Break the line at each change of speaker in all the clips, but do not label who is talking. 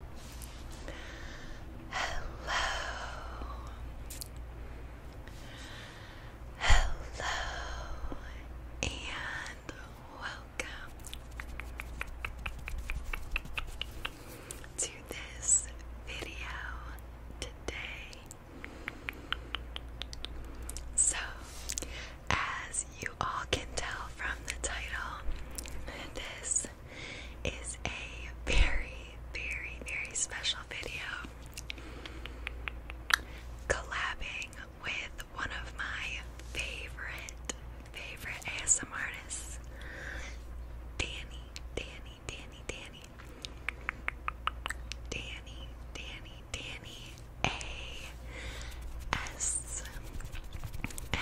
Hello. Hello and welcome to this video today. So, as you all can tell from the title, this is a very, very, very special video collabing with one of my favorite, favorite ASM artists, Danny, Danny, Danny, Danny, Danny, Danny, Danny, A S M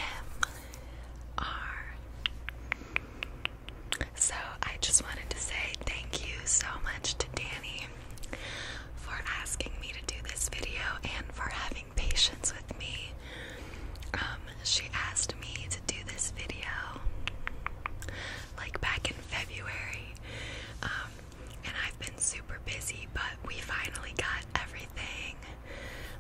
so I just wanted to say thank you so much to Danny for asking me to do this video and for having patience with me. Um, she asked me to do this video like back in February, um, and I've been super busy, but we finally got everything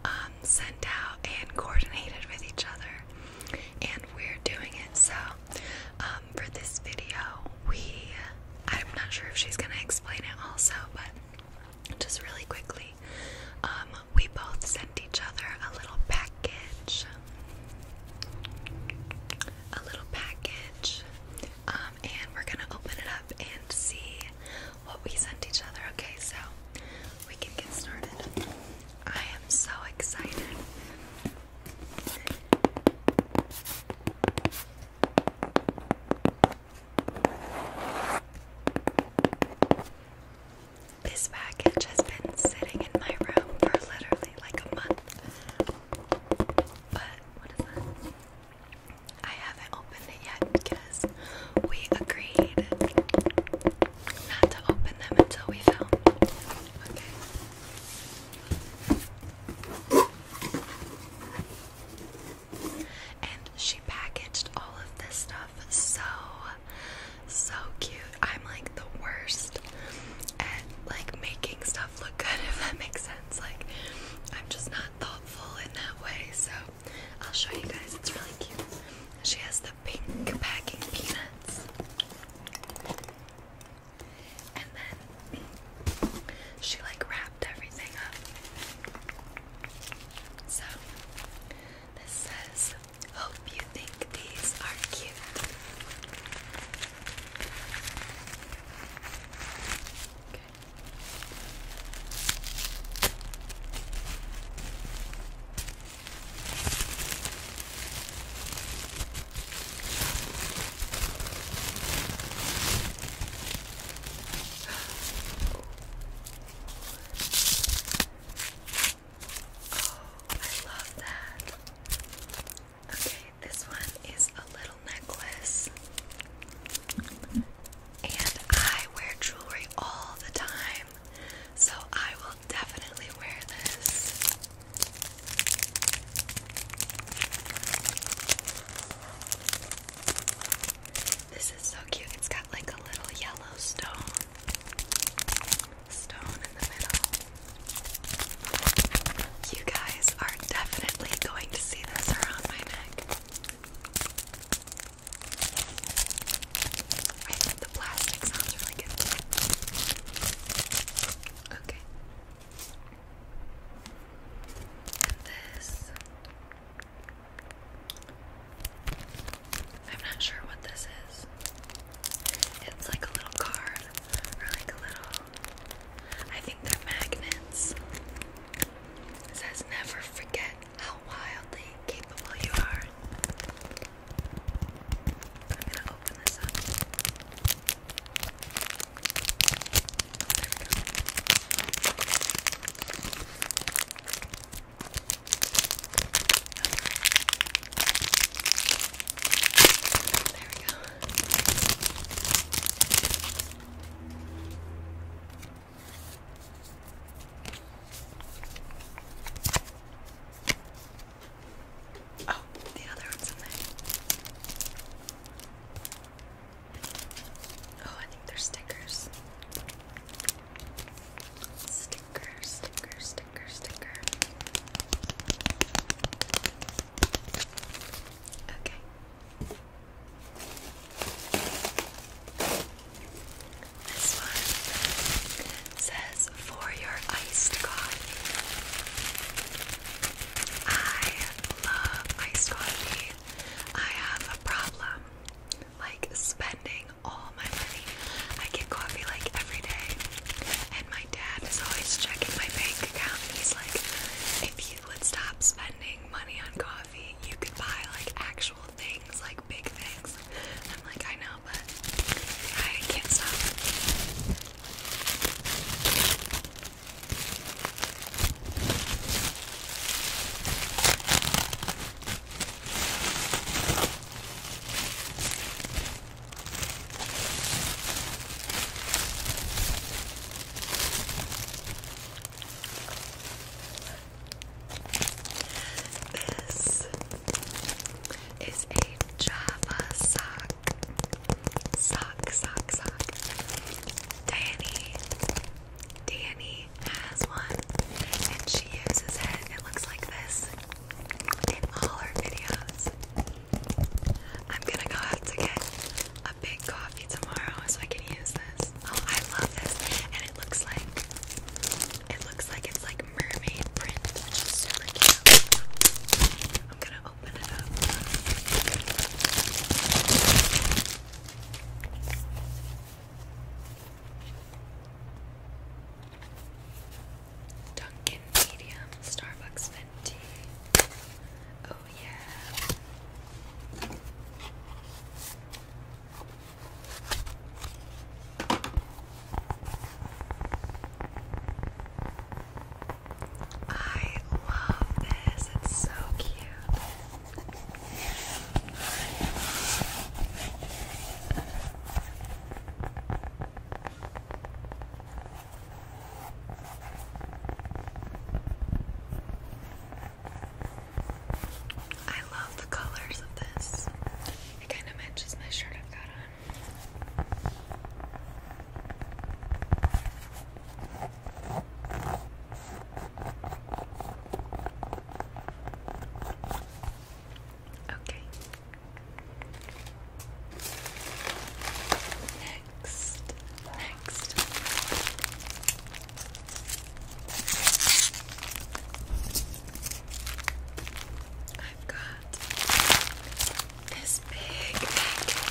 um, um, sent out and coordinated with each other, and we're doing it. So, um, for this video, we I'm not sure if she's gonna explain it also, but just really quickly, um, we both sent each other a little package, a little package, and we're gonna open it up and see what we sent each other. Okay, so we can get started. I am so excited. This package has been sitting in my room for literally like a month. But I haven't opened it yet we agreed not to open them until we film. Okay. And she packaged all of this stuff so so cute. I'm like the worst at like making stuff look good if that makes sense. Like I'm just not thoughtful in that way. So I'll show you guys. It's really cute. She has the pink packing peanuts. And then she like wrapped everything up. So this says, Hope you think these are cute. Okay. Oh, I love that. Okay, this one is a little necklace and I wear jewelry all the time, so I will definitely wear this. This is so cute. It's got like a little yellow stone stone in the middle. You guys are definitely going to see this around my neck. I think the plastic sounds really good. Okay. this. I'm not sure what this is. It's like a little card, or like a little. I think they're magnets. says never forget how wildly capable you are. I'm gonna open this up. There we go. Oh, the other one's in there. Oh, I think they're stickers. Sticker, sticker, sticker, sticker. Okay. This one says, For your iced coffee. I love iced coffee. I have a problem like spending all my money. I get coffee like every day, and my dad is always checking my bank account. And he's like, if you would stop spending money on coffee, you could buy like actual things, like big things. I'm like, I know, but I can't stop. This is a Java sock. Sock, sock, sock. Danny. Danny has one and she uses it. It looks like this in all her videos. I'm gonna go out to get a big coffee tomorrow so I can use this. Oh, I love this. And it looks like it looks like it's like mermaid print, which is super cute. I'm gonna open it up. Dunkin' Medium, Starbucks Venti. Oh yeah. I love this. It's so cute. I love the colors of this. It kind of matches my shirt I've got on. Okay. Next, next, I've got this big package.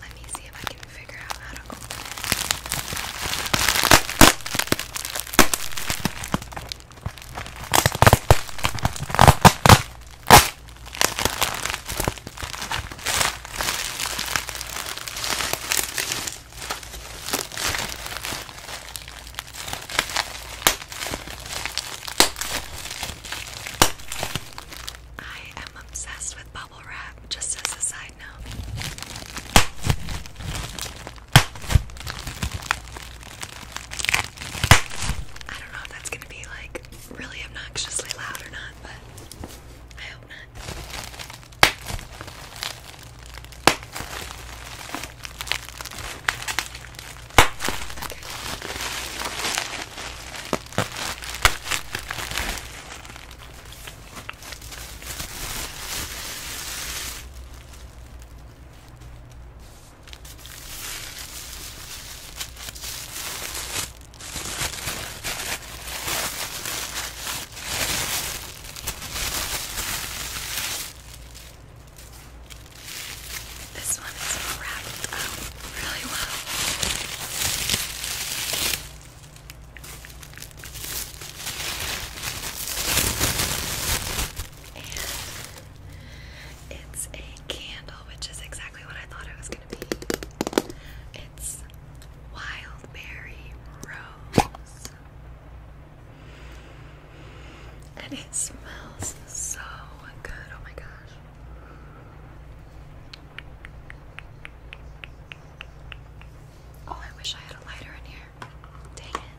Let me see if I can figure out how to open I am obsessed with. Bob just as a side note. I don't know if that's gonna be like really obnoxiously loud or not, but I hope not. This one is wrapped up really well it's a candle, which is exactly what I thought it was going to be. It's Wildberry Rose. And it smells so good. Oh my gosh. Oh, I wish I had a lighter in here. Dang it.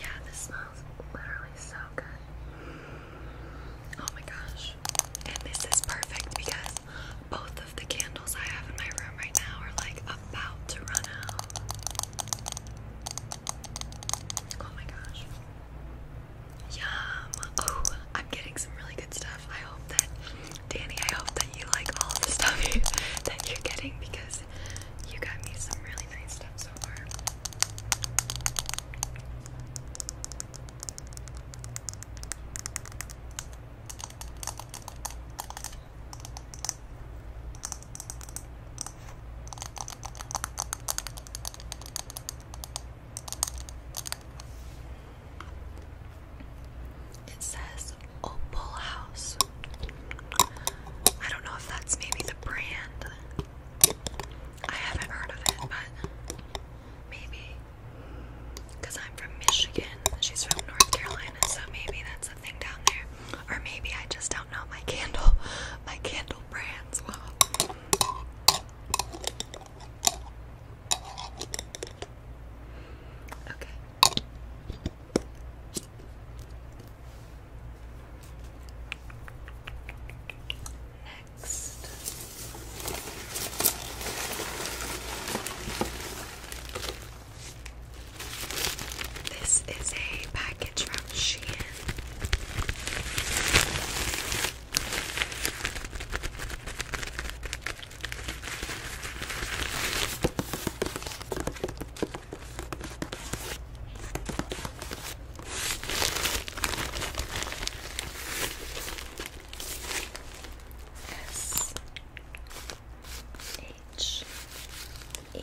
Yeah, this smells literally so good. Oh my gosh. And this is perfect because both of the candles I have in my room right now are like about to run out. Oh my gosh. Yum. Oh, I'm getting some really good stuff. I hope that, Danny, I hope that you like all the stuff that you're getting because you got me some really nice stuff so far. It says Opal House. I don't know if that's maybe the brand. I haven't heard of it, but maybe. Because I'm from Michigan, she's from North Carolina, so maybe that's a thing down there. Or maybe I just don't know my candle, my candle brands well. Okay. Next. This is a package package from Shein. S H E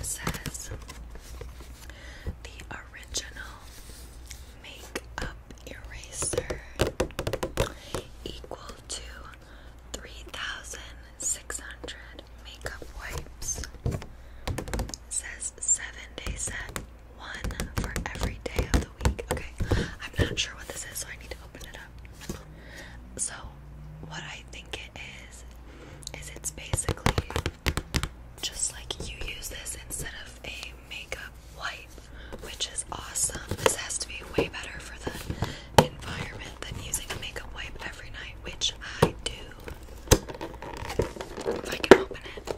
It says the original makeup eraser equal to 3,600 makeup wipes. says seven day set, one for every day of the week. Okay, I'm not sure what this is, so I need to open it up. So, what I think it is, is it's basically just like you use this instead of a makeup wipe, which is awesome. This has to be way better for the environment than using a makeup wipe every night, which I do. If I can open it.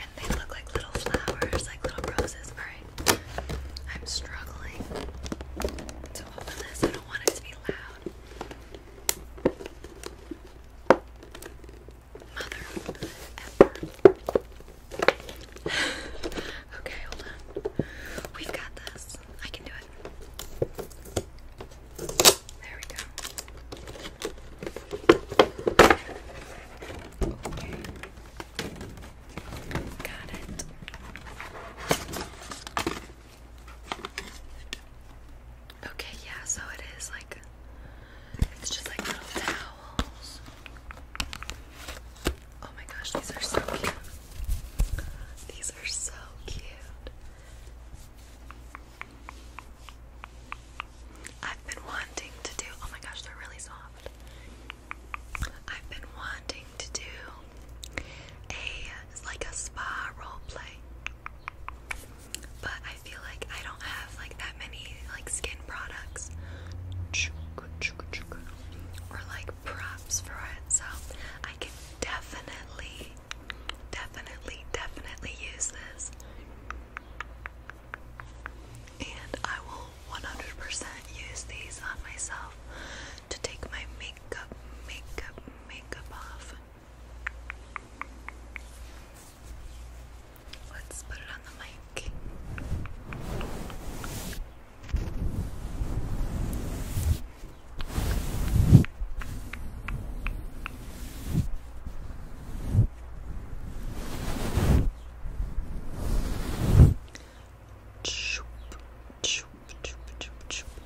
and they look like little flowers, like little roses. Alright. I'm struggling to open this. I don't want it to be loud. Mother ever. okay, hold on. We've got this. I can do it. There we go. Got it. Okay, yeah, so it is like it's just like little towels. Oh my gosh, these are so cute. These are so cute. I've been wanting to do. Oh my gosh, they're really soft. I've been wanting to do a like a spa role play. But I feel like I don't have like that many like skin products or like props for it. So I can definitely definitely definitely use this. And I will 100% use these on myself to take my makeup, makeup, makeup off. Let's put it on the mic.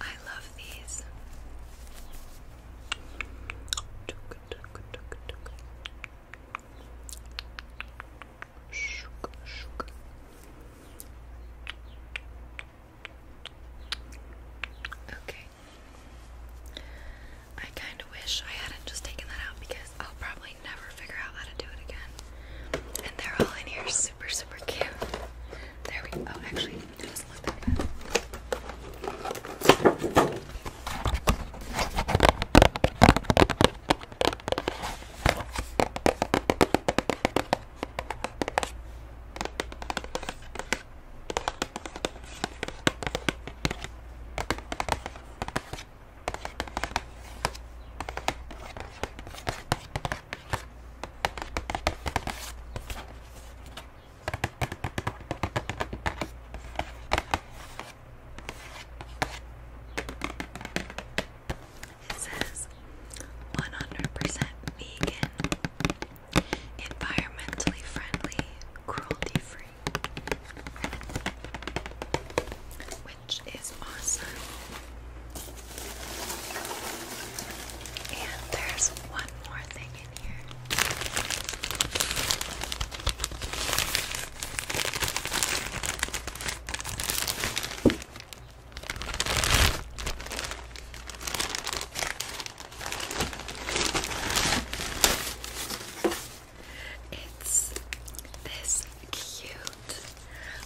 I love these. Okay. I kind of wish I hadn't just taken that out because I'll probably never figure out how to do it again. And they're all in here super, super cute. There we go. Oh, actually, it doesn't that it says 100% vegan, environmentally friendly, cruelty free which is awesome. And there's one more thing in here. It's this cute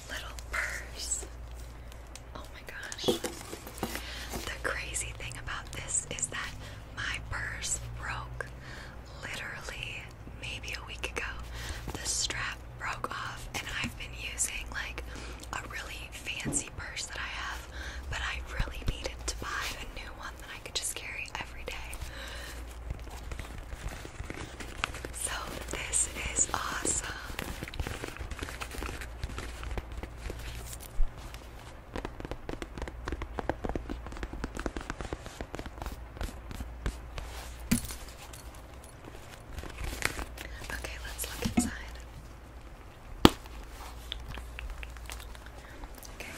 little purse. Oh my gosh. The crazy thing about this is that my purse broke literally maybe a week ago. The strap broke off, and I've been using like a really fancy purse that I have, but I really needed to buy a new one that I could just carry every day. So, this is awesome. Okay, let's look inside. Okay,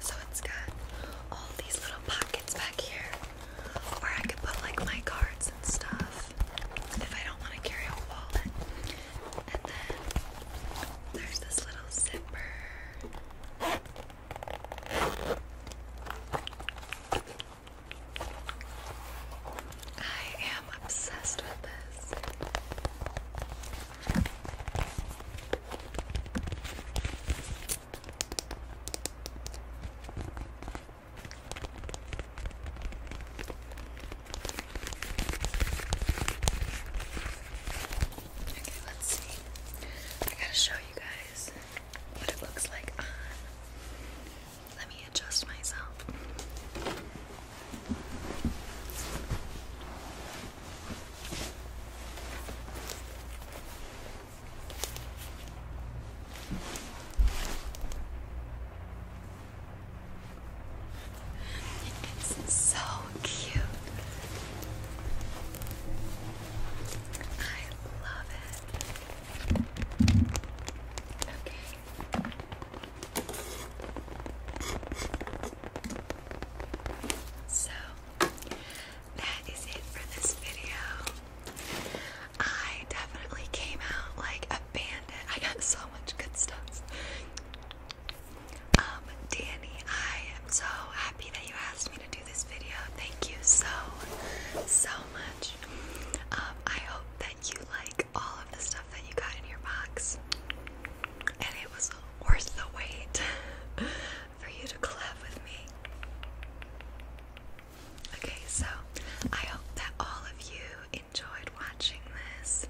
so it's got all these little pockets back here. Or I could put like my cards and stuff if I don't want to carry a wallet. And then there's this little zipper. I am obsessed with this. Okay, let's see. I gotta show you guys what it looks like Let me adjust myself. It's so cute. I love it. Okay. So that is it for this video. I definitely came out like a bandit. I got so much good stuff. Um, Danny, I am so happy that you asked me to do this video. Thank you so, so much. Um, I hope that you like all of the stuff that you got in your box. And it was worth the wait. for you to collab with me. Okay, so I hope that all of you enjoyed watching this.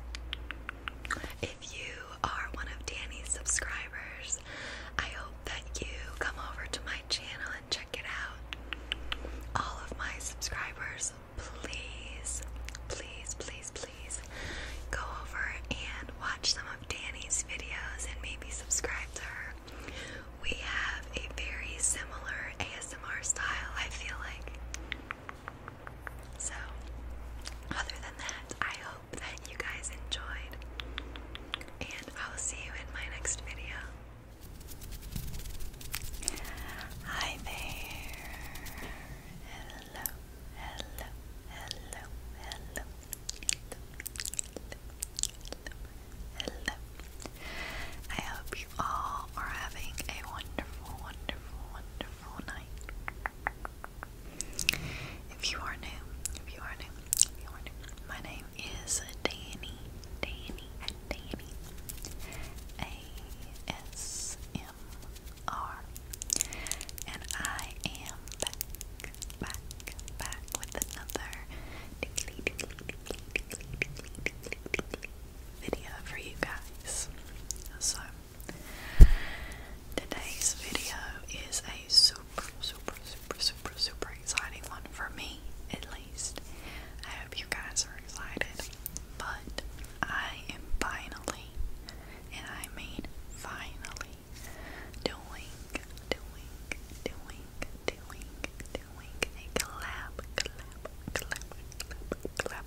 If you are one of Danny's subscribers, I hope that you come over to my channel and check it out. All of my subscribers, please, please, please, please go over and watch some of Danny's videos and maybe subscribe to her we have a very similar ASMR style, I feel like. So, other than that, I hope that you guys enjoyed, and I'll see you in my next video. Hi there. Hello, hello, hello, hello, hello. I hope you all are having a wonderful, wonderful, wonderful night. If you are new, if you are new, if
you are new, my name is Danny, Danny, Danny, A S M R, and I am back, back, back with another video for you guys. So, today's video is a super, super, super, super, super exciting one for me, at least. I hope you guys are excited, but I am finally, and I mean finally, doing, doing, doing, doing, doing a collab, collab, collab, collab, collab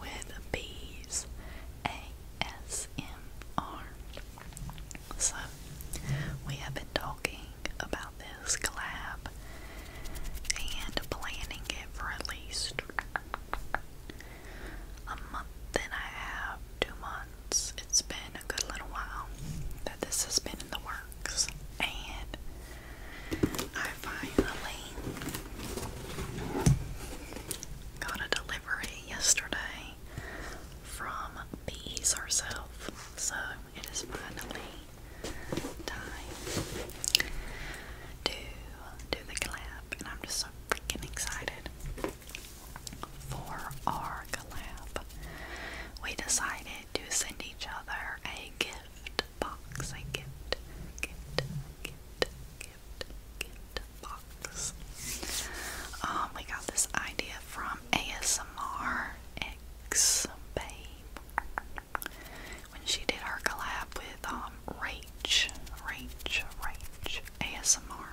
with bees, ASMR. So we have been talking about this collab and planning it for at least a month and a half, two months. It's been a good little while that this has been in the works, and I finally got a delivery yesterday from Bees herself, so it is finally time to do the collab, and I'm just so freaking excited. For our collab, we decided to send each other a gift box, a gift, gift, gift, gift, gift box. Um, we got this idea from ASMR X Babe when she did her collab with um Rach, Rach, Rach ASMR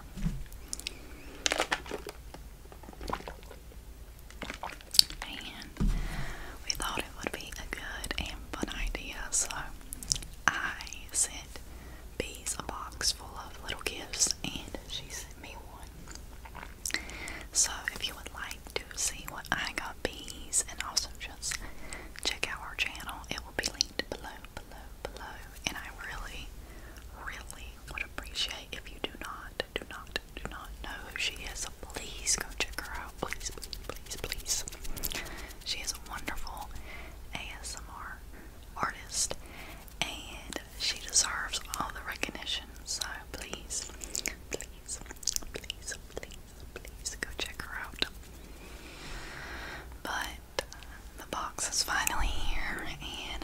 and we thought it would be a good and fun idea, so I sent Bees a box full of little gifts, and she sent me one. So if you would like to see what I got Bees, and also just check out our channel, it will be linked below, below, below, and I really, really would appreciate if you do not, do not, do not know who she is. Please go check her out. Please, please, please, please. She is a wonderful ASMR artist and she deserves all the recognition. So please, please, please, please, please go check her out. But uh, the box is finally here and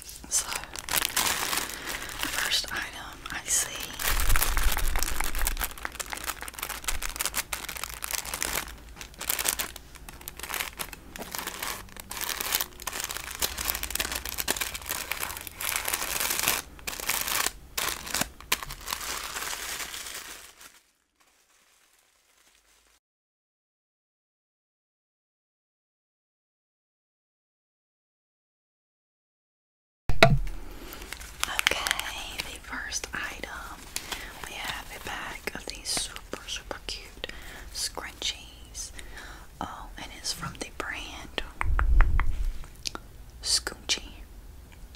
So, first item I see Okay, the first item we have a bag of these super super cute scrunchies. Oh, and it's from the brand Scoonchy.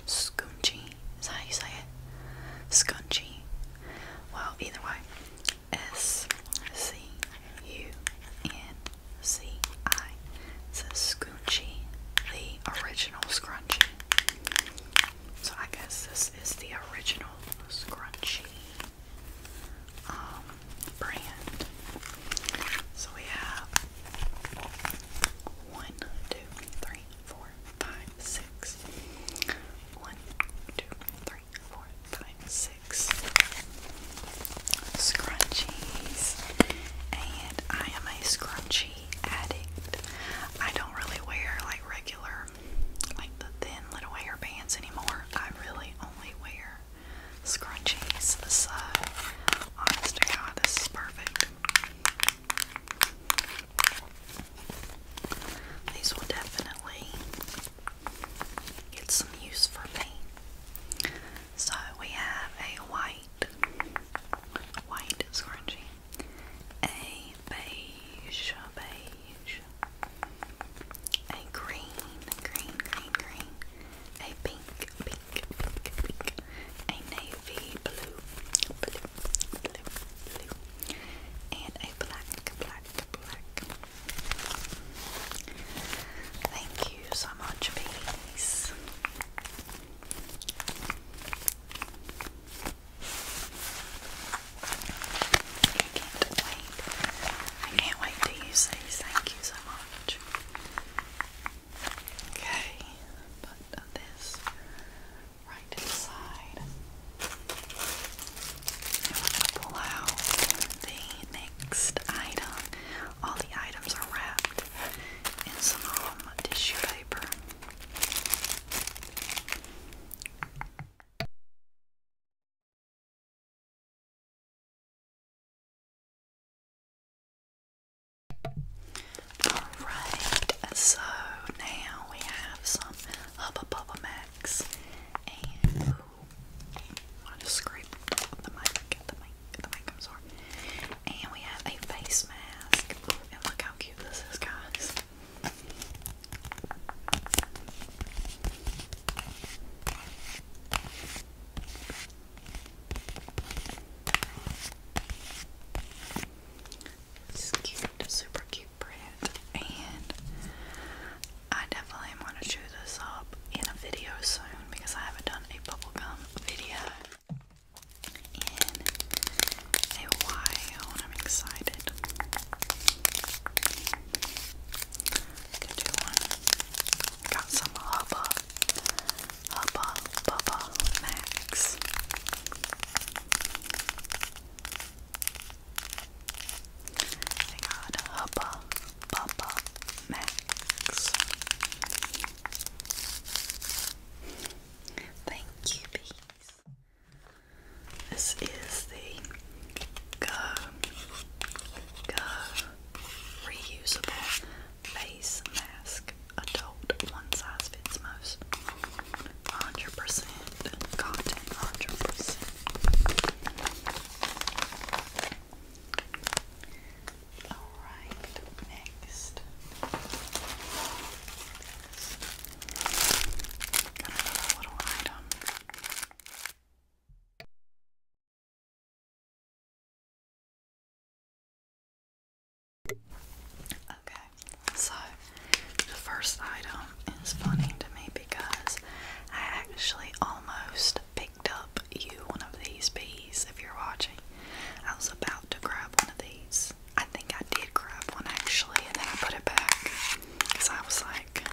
Scoonchy. Is that how you say it? Scoonchy. Well, either way. S C U N C I. It's a scrunchie, the original scrunchie. So I guess this is the original scrunchie um, brand. So we have one, two, three, four, five, six. One, two, three, four, five, six scrunchies, and I am a scrunchie addict. I don't really wear like regular, like the thin little hair bands anymore. I really only wear scrunchies. So, honest to God, this is perfect. These will definitely get some use for me. So we have a white, white scrunchie, a beige, beige, a green, green, green, green, a pink, pink, pink, pink, a navy blue, blue, blue, blue, and a black, black, black. Thank you so much, peace. I can't wait. I can't wait to use these. Thank you so much. Okay, put this right to And we're going to pull out the next item. All the items are wrapped in some um, tissue paper. Alright, so now we have some Hubba Bubba Max want just scrape the mic, the mic, the mic, I'm sorry. And we have a face mask. And look how cute this is, guys. It's cute, super cute print, and I definitely want to chew this up in a video soon because I haven't done a bubblegum video in a while and I'm excited. got some Hubba Hubba Bubba Max. got Hubba Papa Max. Thank you, bees. This is the Go Go reusable face mask, adult one size fits most, hundred percent cotton, Alright, next. another little item. Okay, so the first item is funny to me because I actually almost picked up you one of these bees if you're watching. I was about to grab one of these. I think I did grab one actually, and then I put it back because I was like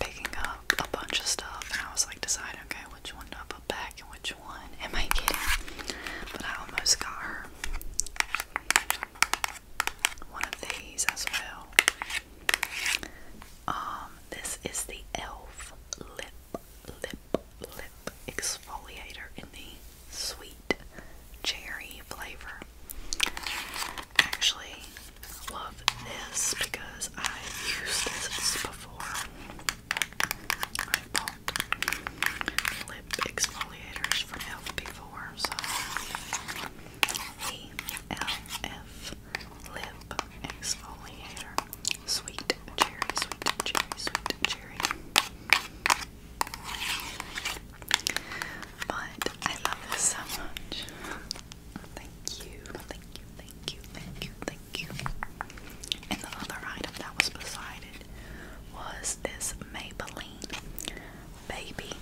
picking up a bunch of stuff, and I was like deciding, okay, which one do I put back and which one am I getting? But I almost got her one of these as well. Um, this is the e.l.f. Lip, Lip, Lip Exfoliator in the sweet cherry flavor. Actually, love this because i used this before. I bought lip exfoliators from e.l.f. before, so E L F Lip Exfoliator. Sweet cherry, sweet cherry, sweet cherry. But I love this so much. Thank you, thank you, thank you, thank you, thank you. And the other item that was beside was this Maybelline Baby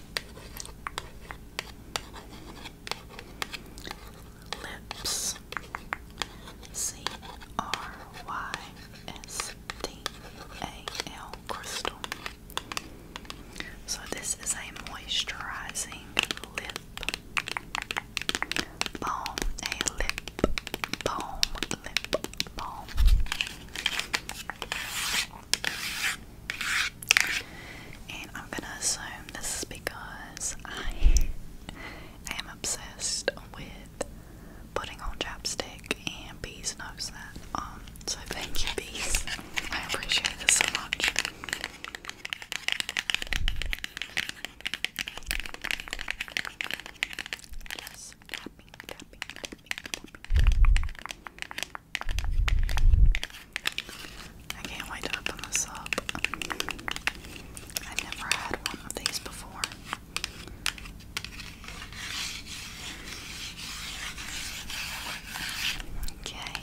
Lips C R Y S T A L Crystal. So this is a moisturizing lip balm, a lip balm, lip balm. And I'm gonna assume this is because I am obsessed with putting on chapstick and Bees knows that. Um, so thank you Bees. I appreciate this so much. Just I can't wait to open this up. I've never had one of these before. Okay.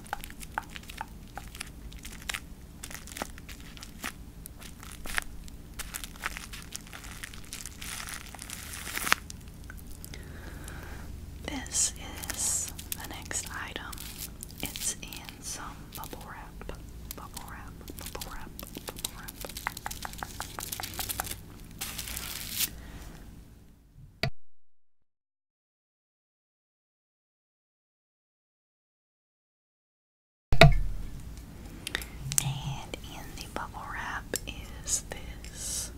This is the next item. It's in some bubble wrap. Bubble wrap, bubble wrap, bubble wrap. And in the bubble wrap is this.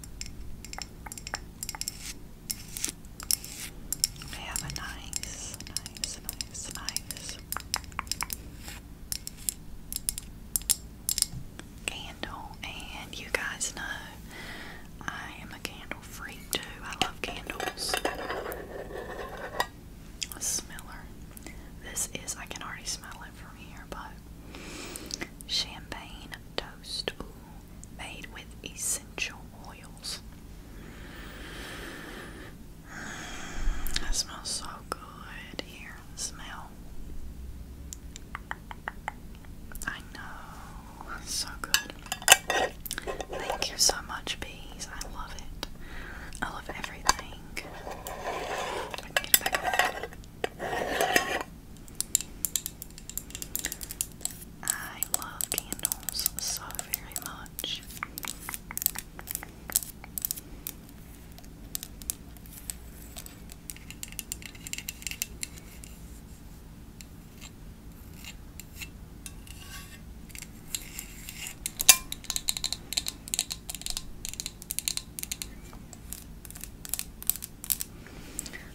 We have a nice, nice, nice, nice candle, and you guys know I am a candle freak too. I love candles. smeller. This is, I can already smell it from here, but champagne toast made with essential oils. Mm, that smells so good here. smell. I know. So good. Thank you so much, bees. I love it. I love everything. I I love candles so very much.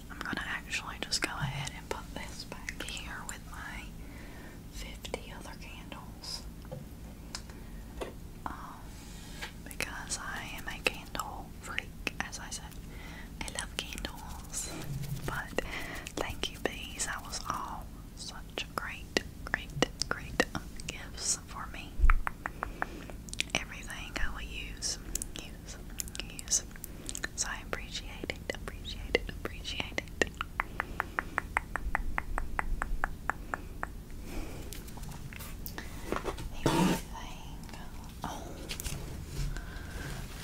I'm going to actually just go ahead and put this back here with my 50 other candles. Um, because I am a candle freak as I said, I love candles. But thank you, bees. That was all such great, great, great gifts for me. Everything I will use, use, use. So I appreciate it, appreciate it, appreciate it. Everything Oh.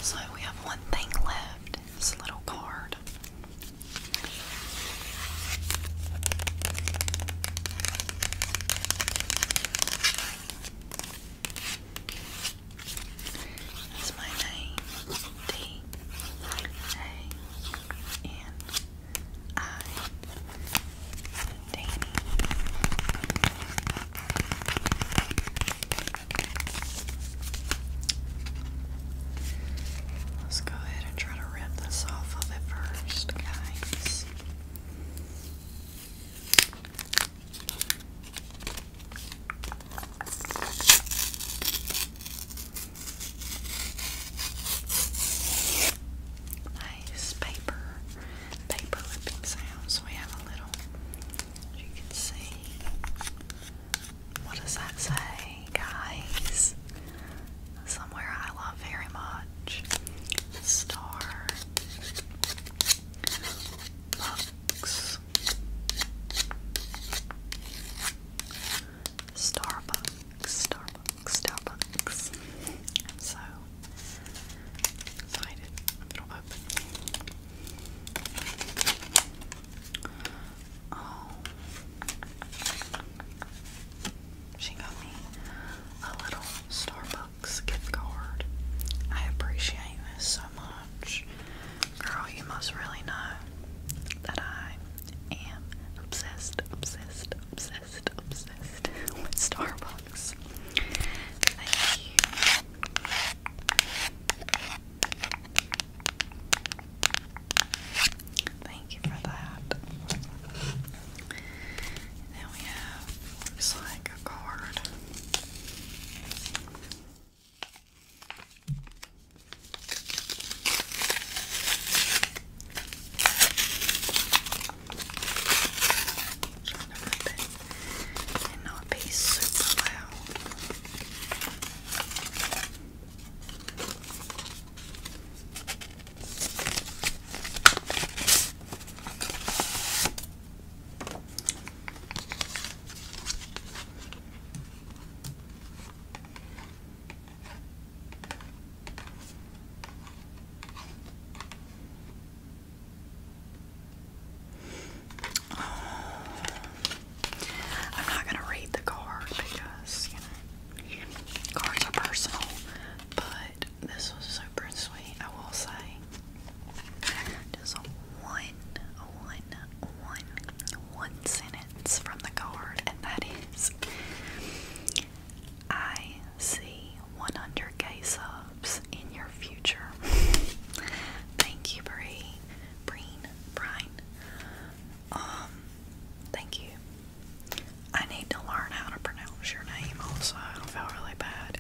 So we have one thing left this little card. That's my name. D A N I Let's go ahead and try to rip this off of it first, guys. Nice paper paper lipping sound. So we have a little, as you can see. What does that say, guys? Somewhere I love very much. Star. Starbucks, Starbucks, Starbucks. so Oh. she got me a little Starbucks gift card. I appreciate this so much. Girl, you must really know that I am obsessed, obsessed, obsessed, obsessed with Starbucks. Thank you. Thank you for that. then we have looks like a card. Trying to rub it not be super loud. I'm not gonna read the card because cards are personal, but this was super sweet. I will say, just one, one, one, one sentence from the card, and that is, I see 100k subs in your future. thank you, Bree. Breen, Brian. Um, thank you. I need to learn how to pronounce your name also. I feel really bad.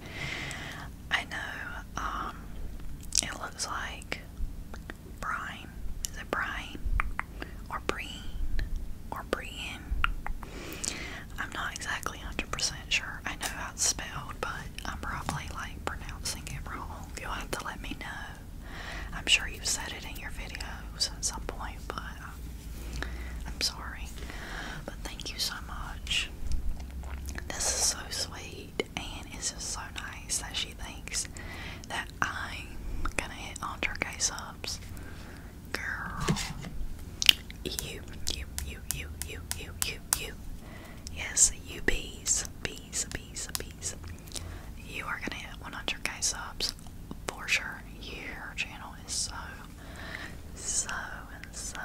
I know, um, it looks like Brian. Is it Brian? Or Breen? Or Brian? I'm not exactly 100% sure. I know how it's spelled, but I'm probably like pronouncing it wrong. You'll have to let me know. I'm sure you've said it in your videos at some point, but I'm sorry. But thank you so much. This is so sweet, and it's just so nice that she thinks that I'm gonna hit on her K subs. Girl, you, you, you, you, you, you, you, you. Yes, you bees. Bees, bees, bees. You are gonna hit 100 subs for sure. Your channel is so, so, so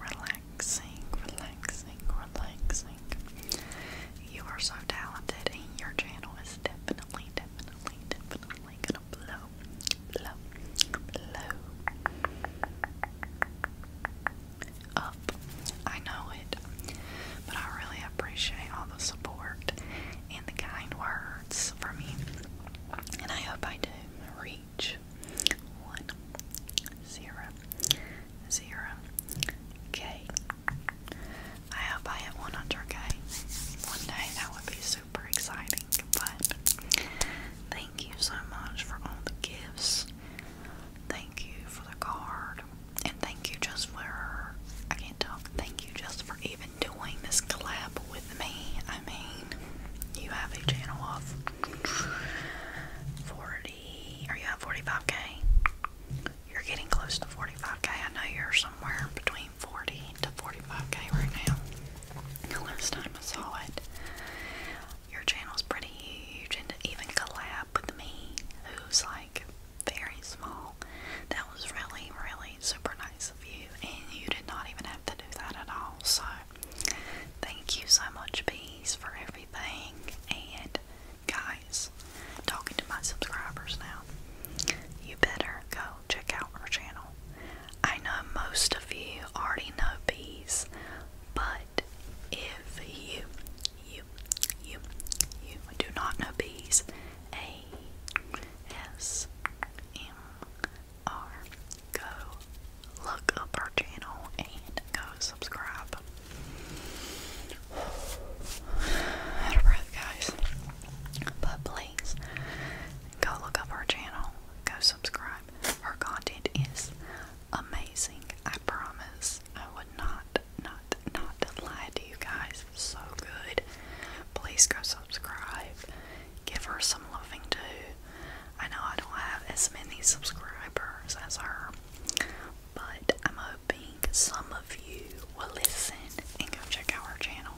relaxing, relaxing, relaxing. You are so talented, and your channel is definitely, definitely, definitely gonna blow, blow, blow up. I know it, but I really appreciate all the support and the kind words from you, and I hope I do reach one zero zero K. I hope I hit 100k. One day that would be so super exciting. But thank you so much for all the gifts. Thank you for the card. And thank you just for I can't talk. Thank you just for even doing this collab with me. I mean, you have a channel of forty or you have forty five K. You're getting close to forty five K. I know you're somewhere between forty to forty five K right now last time I saw it, your channel's pretty huge, and to even collab with me, who's like very small, that was really, really super nice of you. And you did not even have to do that at all. So, thank you so much, Bees, for everything. And, guys, talking to my subscribers now, you better go check out our channel. I know most of you already know bees, but if you, you, you, you do not know bees, A S M R, go look up our channel and go subscribe. Out of breath, guys. But please go look up our channel, go subscribe. Her content is amazing. I promise. I would not, not, not lie to you guys. So good. Please go subscribe. Give her some loving too. I know I don't have as many subscribers as her, but I'm hoping some of you will listen and go check out her channel.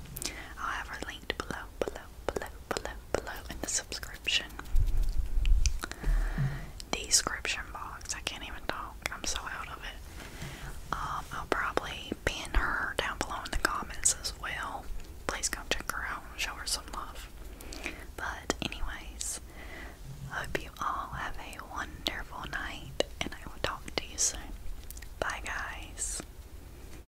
I'll have her linked below, below, below, below, below in the subscription description box. I can't even talk. I'm so out of it. Um, I'll probably pin her down below in the comments as well. Please come check her out and show her some love. But anyways, hope you all have a wonderful night and I will talk to you soon. Bye guys.